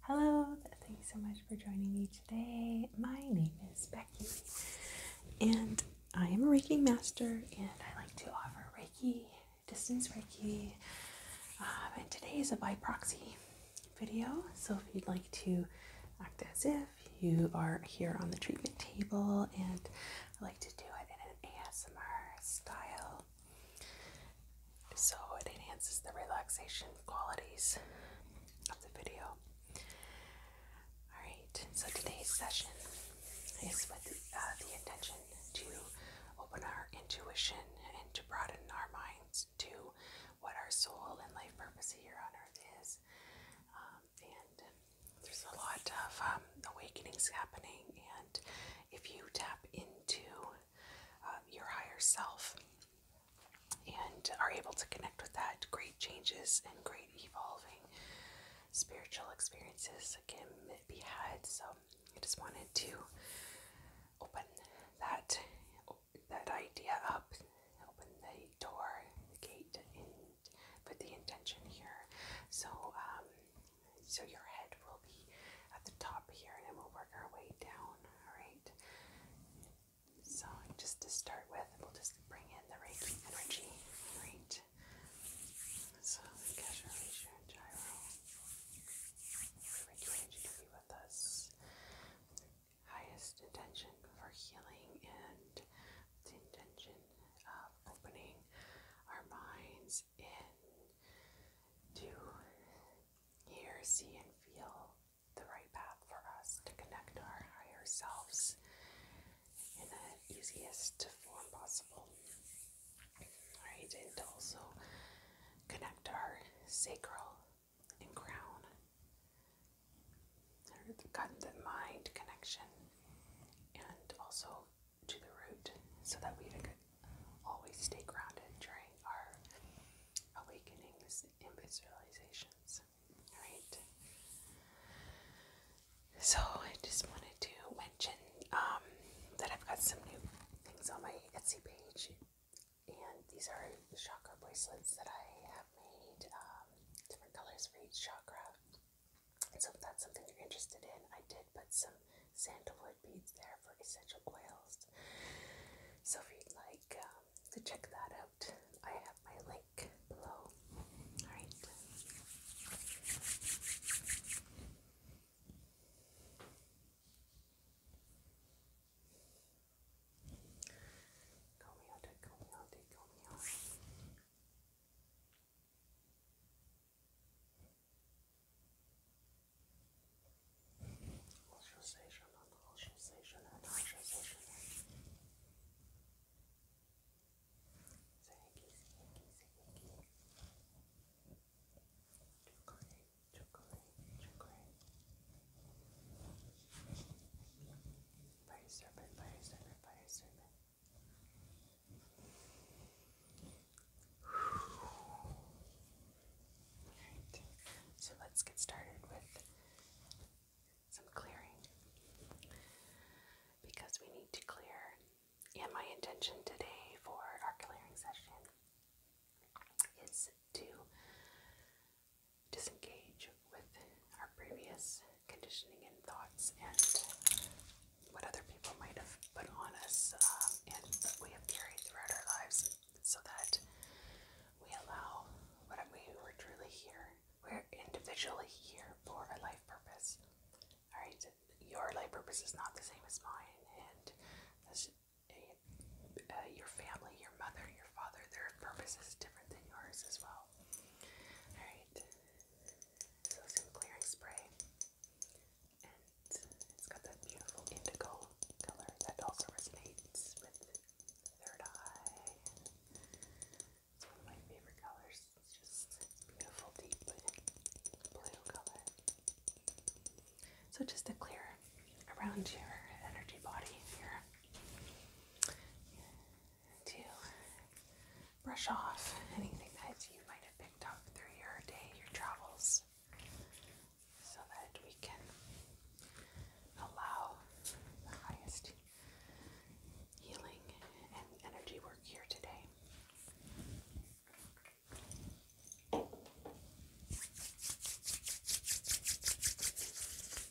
Hello, Thanks so much for joining me today. My name is Becky, and I am a Reiki master, and I like to offer Reiki, distance Reiki. Um, and today is a by proxy video, so if you'd like to act as if if you are here on the treatment table, and I like to do it in an ASMR style so it enhances the relaxation qualities of the video. Alright, so today's session is with uh, the, intention to open our intuition and to broaden our minds to what our soul and life purpose here on earth is. Um, and um, there's a lot of um, awakenings happening, and if you tap into your higher self and are able to connect with that, great changes and great evolving spiritual experiences can be had. So I just wanted to open that that idea up, open the door, the gate, and put the intention here. So, um, so your head will be at the top here, and then we'll work our way down. All right. So, just to start with, we'll just bring in the right energy. All right. So, Kesha, Alicia, and Gyro. Reiki energy to be with us highest intention for healing and the intention of opening our minds in to hear, see, and feel the right path for us to connect our higher selves in the easiest form possible. Right, and also connect our sacral and crown. I've gotten mind connection and also to the root so that we could always stay grounded during our awakenings visualizations. Alright. So I just wanted to mention um, that I've got some new things on my Etsy page and these are the chakra bracelets that I have made um, different colors for each chakra. And so if that's something you're interested in, I did put some sandalwood beads there for essential oils. So if you'd like um, to check that out, I have my link below. Alright. Comiode, comiode, comiode. Ostracization and ostracization and ostracization. Thank you, thank you, thank you. Chocolate, chocolate, chocolate. Fire serpent, fire serpent, fire serpent. so let's get started with some clearing. Because we need to clear, and my intention today for our clearing session is to disengage with our previous conditioning and thoughts and what other people might have put on us um, and that we have carried throughout our lives so that we allow what we are truly here. We're individually here for a life purpose. All right, your life purpose is not the same as mine, and uh, your family, your mother, your father, they're purpose is different than yours as well. Alright, so some clearing spray. And it's got that beautiful indigo color that also resonates with third eye. one of my favorite colors. It's just beautiful, deep blue color. So just to clear around your energy body here to brush off anything that you might have picked up through your day, your travels, so that we can allow the highest healing and energy work here today.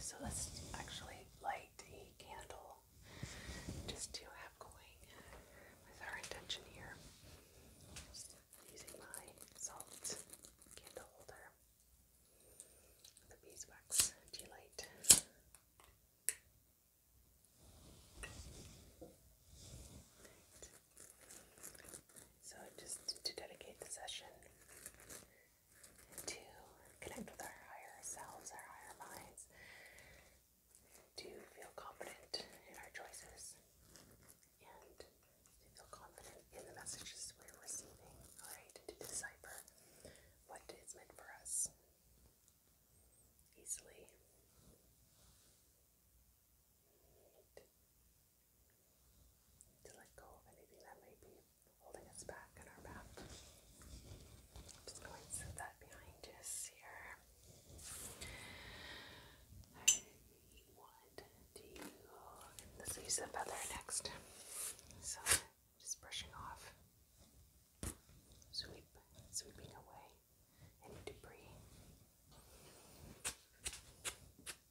so let's actually light a candle just to have going with our intention here. using my salt candle holder, the beeswax tea So, just to dedicate the session to connect with our higher selves, our higher minds, to feel confident in our choices, and to feel confident in the messages we're receiving, right? To decipher what is meant for us easily to let go of anything that may be holding us back in our back. just going to set that behind us here. I want to let's use the feather next. So just brushing off. Sweep, sweeping away any debris.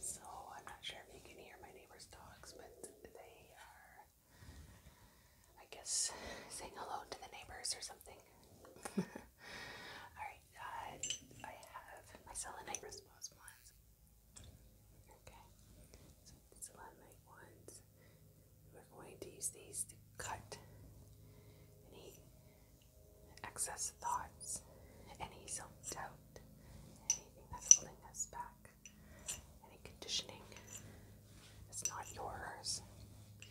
So I'm not sure if you can hear my neighbor's dogs, but they are, I guess, saying hello to the neighbors or something. Alright, uh, I have my selenite response Okay, so the selenite ones, we're going to use these to cut any excess thoughts, any self doubt anything that's holding us back. Any conditioning is not yours.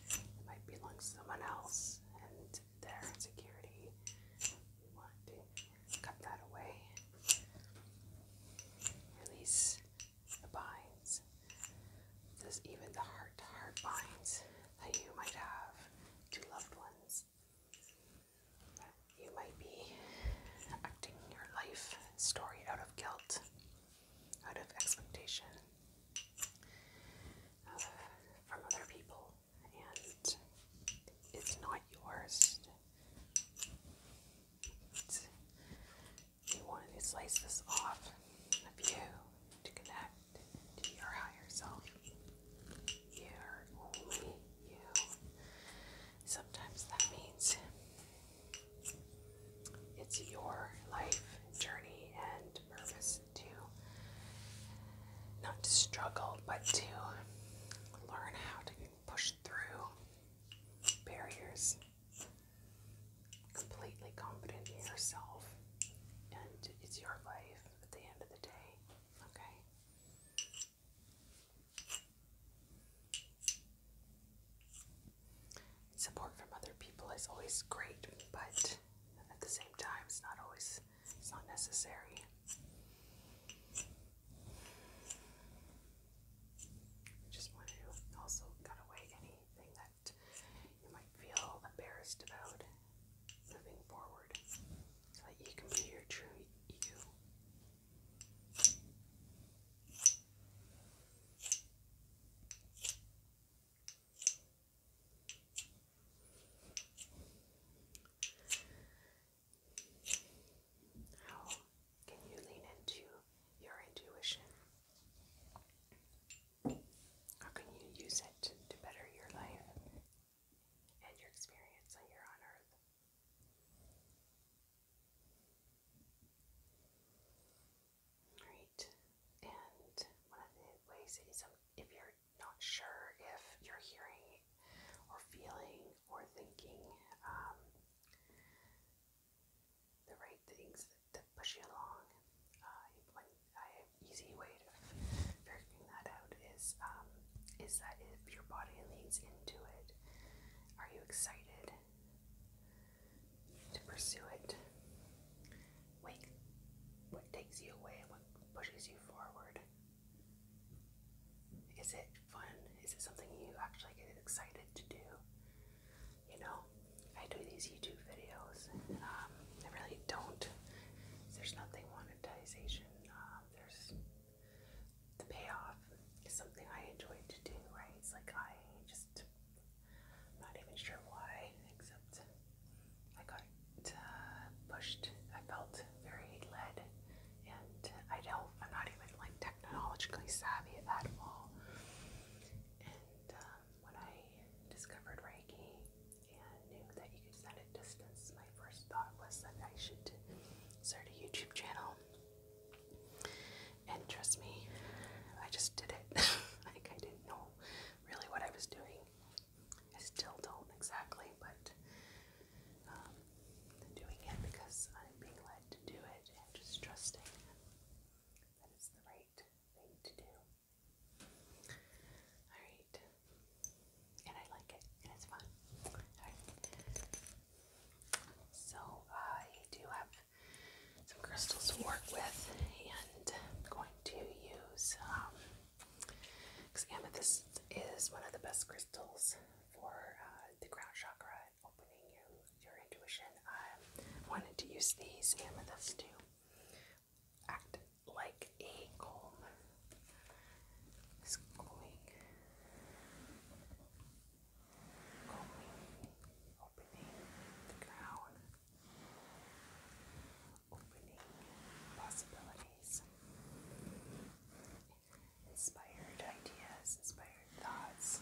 It might belong to someone else and their insecurity. We want to cut that away. Release the binds. This even the heart to heart binds that you might have to loved ones you might be acting your life story out of guilt, out of expectation uh, from other people, and it's not yours. you wanted to slice this off of you to connect to your higher self. you you. Sometimes that means it's your life journey and purpose to not to struggle, but to learn how to push through barriers completely confident in yourself. And it's your life at the end of the day. Okay? Support from other people is always great, but at the same time, it's not always it's not necessary. Just want to also cut away anything that you might feel embarrassed about moving forward, so that you can be your true you. How can you lean into your intuition? How can you use it to better your life, and your experience when on Earth. Right, and one of the ways is if you're not sure if you're hearing or feeling or thinking um, the right things that, push you along, uh, one easy way of figuring that out is um, is that if your body leans into it, are you excited to pursue it? Wake what takes you away, and what pushes you forward? Is it fun? Is it something you actually get excited to do? You know, I do these YouTube videos. Um, I really don't. There's nothing monetization. Um, there's the payoff is something I enjoy to do, right? It's like I just, I'm not even sure why, except I got uh, pushed. I felt very led, and I don't, I'm not even like technologically savvy at all. And um, when I discovered Reiki and knew that you could send it distance, my first thought was that I should start a YouTube channel. And trust me, I just did it. like, I didn't know really what I was doing. I still don't exactly, but I'm um, doing it because I'm being led to do it and just trusting that it's the right thing to do. Alright, and I like it, and it's fun. So, I do have some crystals to work with, and I'm going to use, because um, amethyst is one of the best crystals for uh, the crown chakra and opening you, your intuition. I wanted to use these amethysts to act like a comb is going, going, opening the crown, opening possibilities, inspired ideas, inspired thoughts.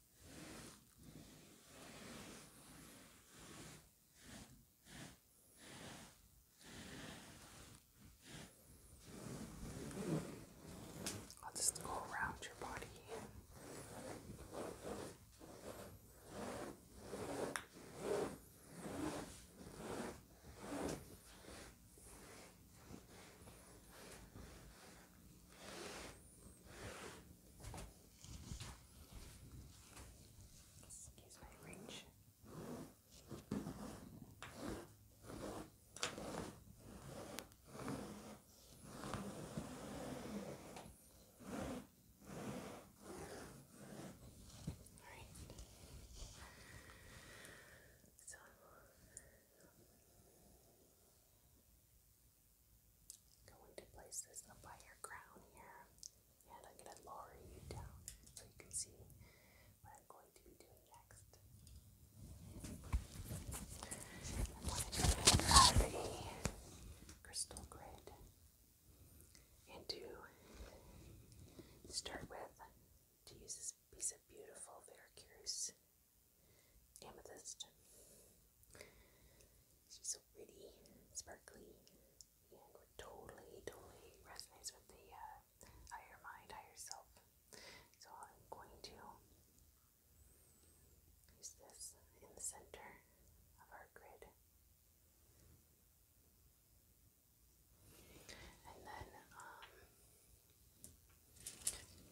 I'll just go around your body. Okay. Excuse my wrench. Alright. So Going to place this up by your crown here, and I'm going to lower you down so you can see what I'm going to be doing next. I'm going to grab a crystal grid and to start with, to use this piece of beautiful Veracruz amethyst. She's so pretty, sparkly, and would totally, totally resonates with the uh, higher mind, higher self. So I'm going to use this in the center of our grid. And then um,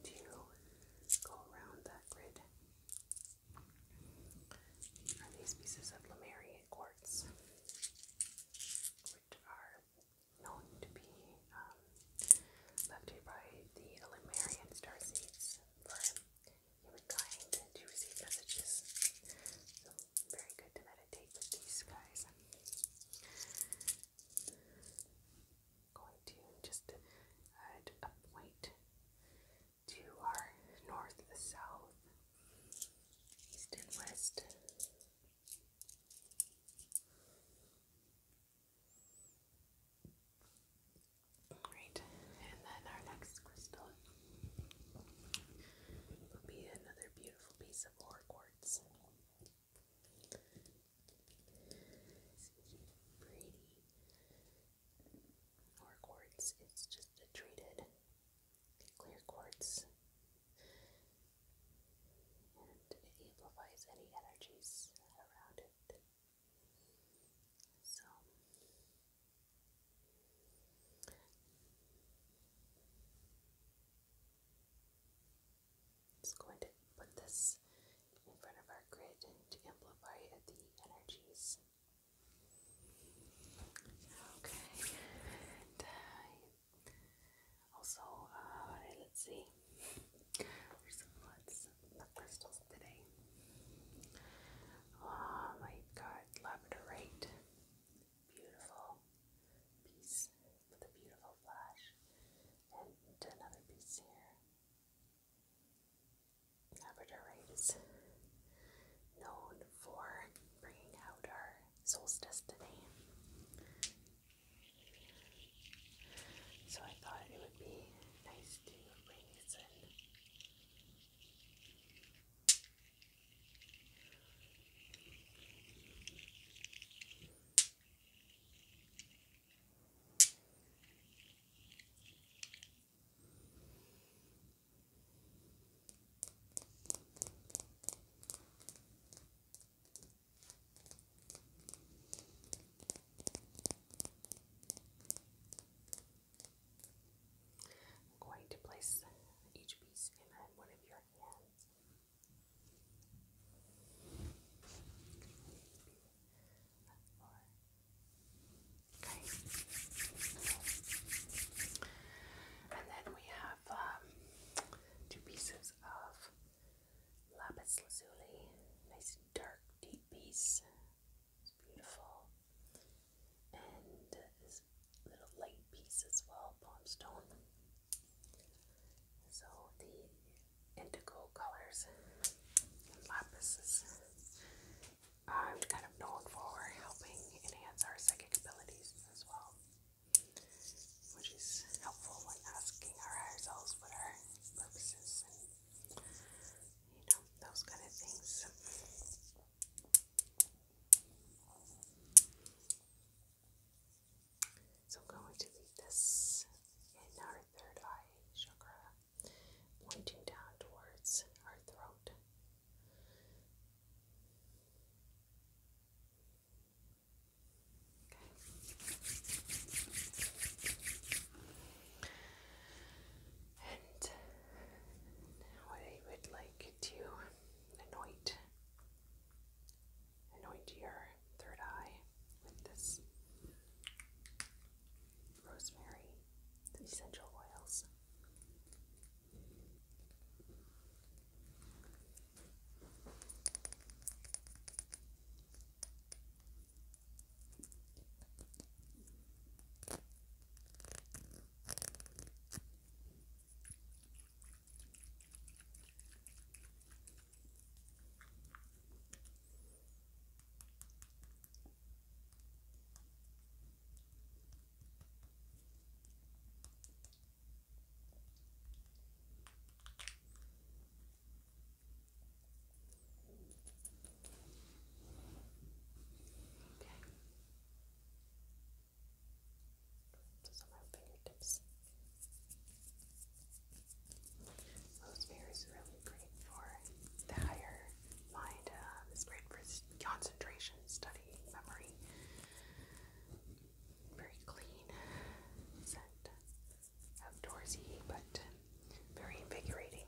to go around that grid, are these pieces of Lemuria quartz, which are known to be um, left here by the Lemurian star seeds for humankind to receive messages. So, very good to meditate with these guys going to just add uh, point to our north, south, east, and west. Great, and then our next crystal will be another beautiful piece of ore quartz. pretty or quartz. It's just a treated clear quartz, and amplifies any energies around it. So. I'm just going to put this in front of our grid to amplify the energies. Okay, uh, also, uh, let's see, some lots of crystals today. Um, oh I've got labradorite, beautiful piece with a beautiful flash, and another piece here. Labradorites, known for bringing out our solstice today. So I thought it would be nice to bring this I'm going to place each piece in one of your hands. Okay. And then we have um, two pieces of lapis lazuli, nice dark, deep piece. beautiful. And this little light piece as well, palm So the into indigo colors and lapises. i kind of known for helping enhance our psychic abilities as well, which is helpful when asking our what our purpose and you know, those kind of things. So I'm going to leave this in our third eye chakra pointing down towards our throat. And I would like to anoint anoint your third eye with this rosemary essential oils. Okay. Those are my fingertips. Okay is really great for the higher mind. it's uh, great for concentration, studying, memory. Very clean scent, outdoorsy, but very invigorating.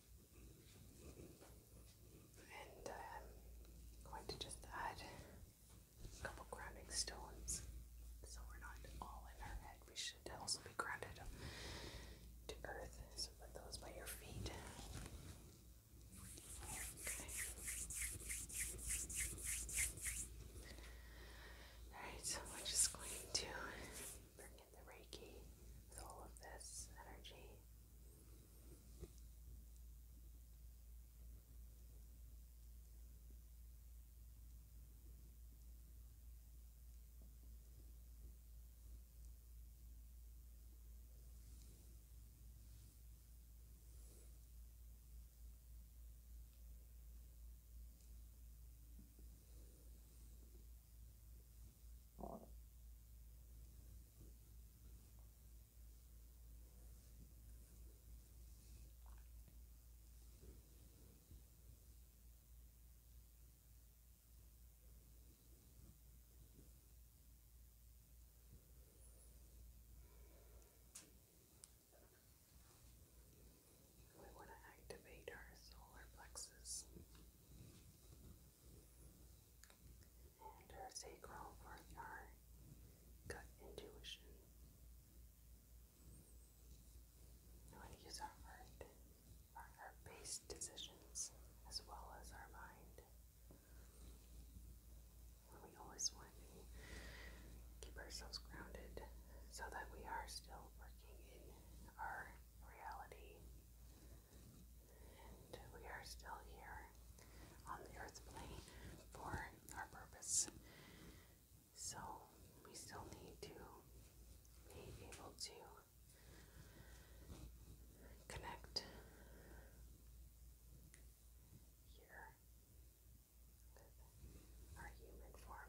And I'm um, going to just add a couple grounding stones so we're not all in our head. We should also be grounded to earth. So put those by your feet. Okay. Alright, so we're just going to the Reiki with all of this energy. We want to activate our solar plexus and our sacral courtyard gut intuition. We want to use our heart for our base decisions as well as our mind. We always want to keep ourselves grounded so that we are still working in our reality and we are still here on the earth plane for our purpose. So we still need to be able to connect here with our human form.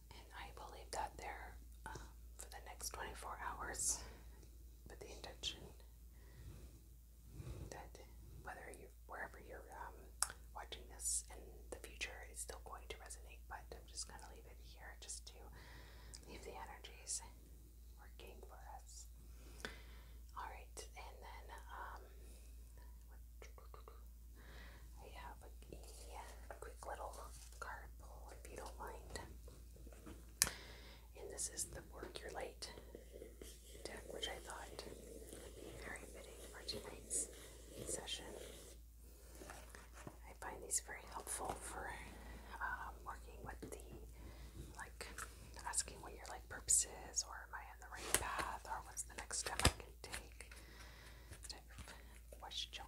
and I will leave that there um, for the next 24 hours with the intention that whether you are wherever you're um, watching this in the future is still going to resonate but I'm just gonna leave it here just to leave the energies working for us all right and then um, I have a quick little card pull if you don't mind. And this is the Work Your Late deck, which I thought would be very fitting for tonight's session. I find these very helpful for um, working with the like asking what your like purpose is, or am I on the right path, or what's the next step I can take questions.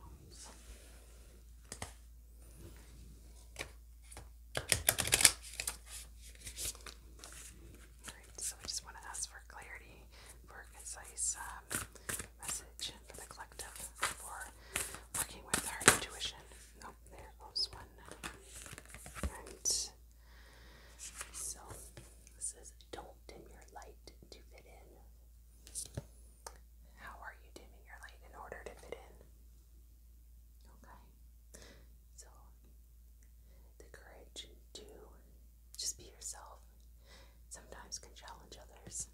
so I just want to ask for clarity, for a concise um, message for the collective, for working with our intuition. Nope, there goes one. Right. So, this is don't dim your light to fit in. How are you dimming your light in order to fit in? Okay. So, the courage to just be yourself sometimes can challenge others.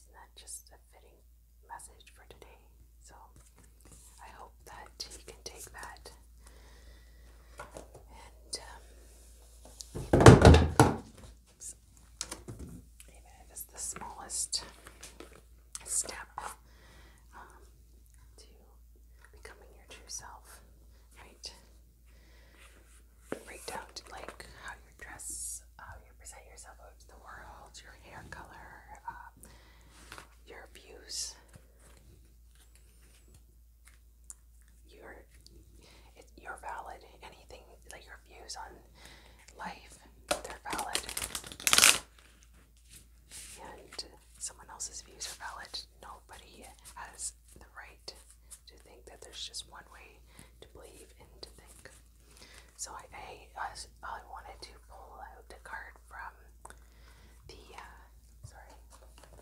Isn't that just a fitting message for today? So, I hope that you can take that and um, it's the smallest step um, to becoming your true self, right? Right down to like how you dress, how you present yourself to the world, your hair color, uh, your views you're valid. Anything like your views on life, they're valid, and someone else's views are valid. Nobody has the right to think that there's just one way to believe and to think. So I I, wanted to pull out a card from the uh, sorry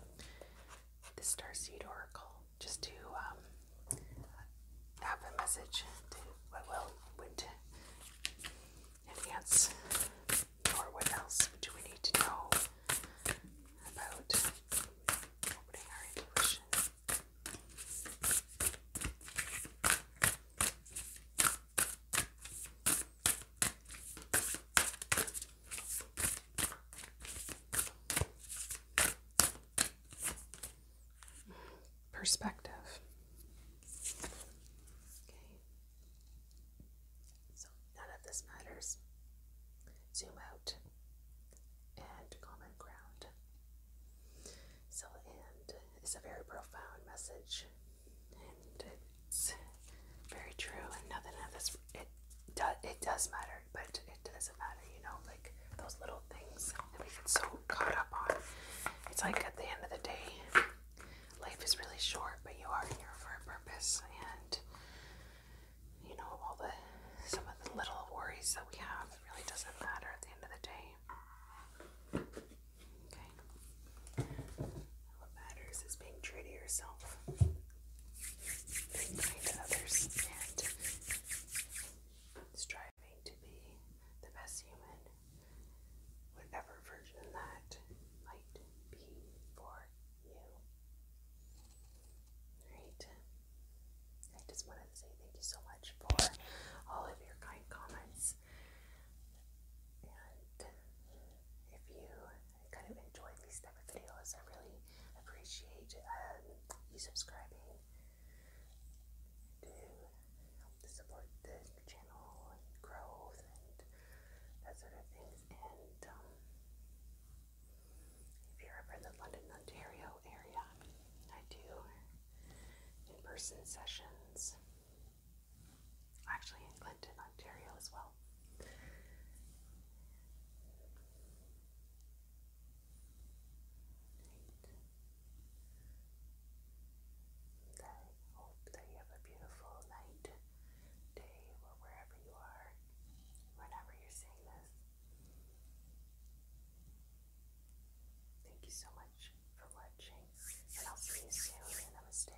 the Star Seed Oracle just to um, have a message to what will or what else do we need to know about opening our intuition perspective. Okay. So none of this matters. Zoom out and common ground. So, and it's a very profound message, and it's very true. And nothing of this, it does matter, but it doesn't matter, you know, like those little things that we get so caught up on. It's like at the end of the day, life is really short, but you are here for a purpose, and you know, all the some of the little worries that we have it really doesn't matter at the end of the day. Okay, what matters is being true to yourself being to others striving to be the best human, whatever version that might be for you. Alright. I just wanted to say thank you so much for all of your kind comments. And if you kind of enjoyed these type of videos, I really appreciate um, you subscribing to help to support the channel growth and that sort of things. And um, if you're ever in the London, Ontario area, I do in-person sessions. Actually, in Clinton, Ontario, as well. I hope that you have a beautiful night, day, or wherever you are, whenever you're seeing this. Thank you so much for watching, and I'll see you soon. Namaste.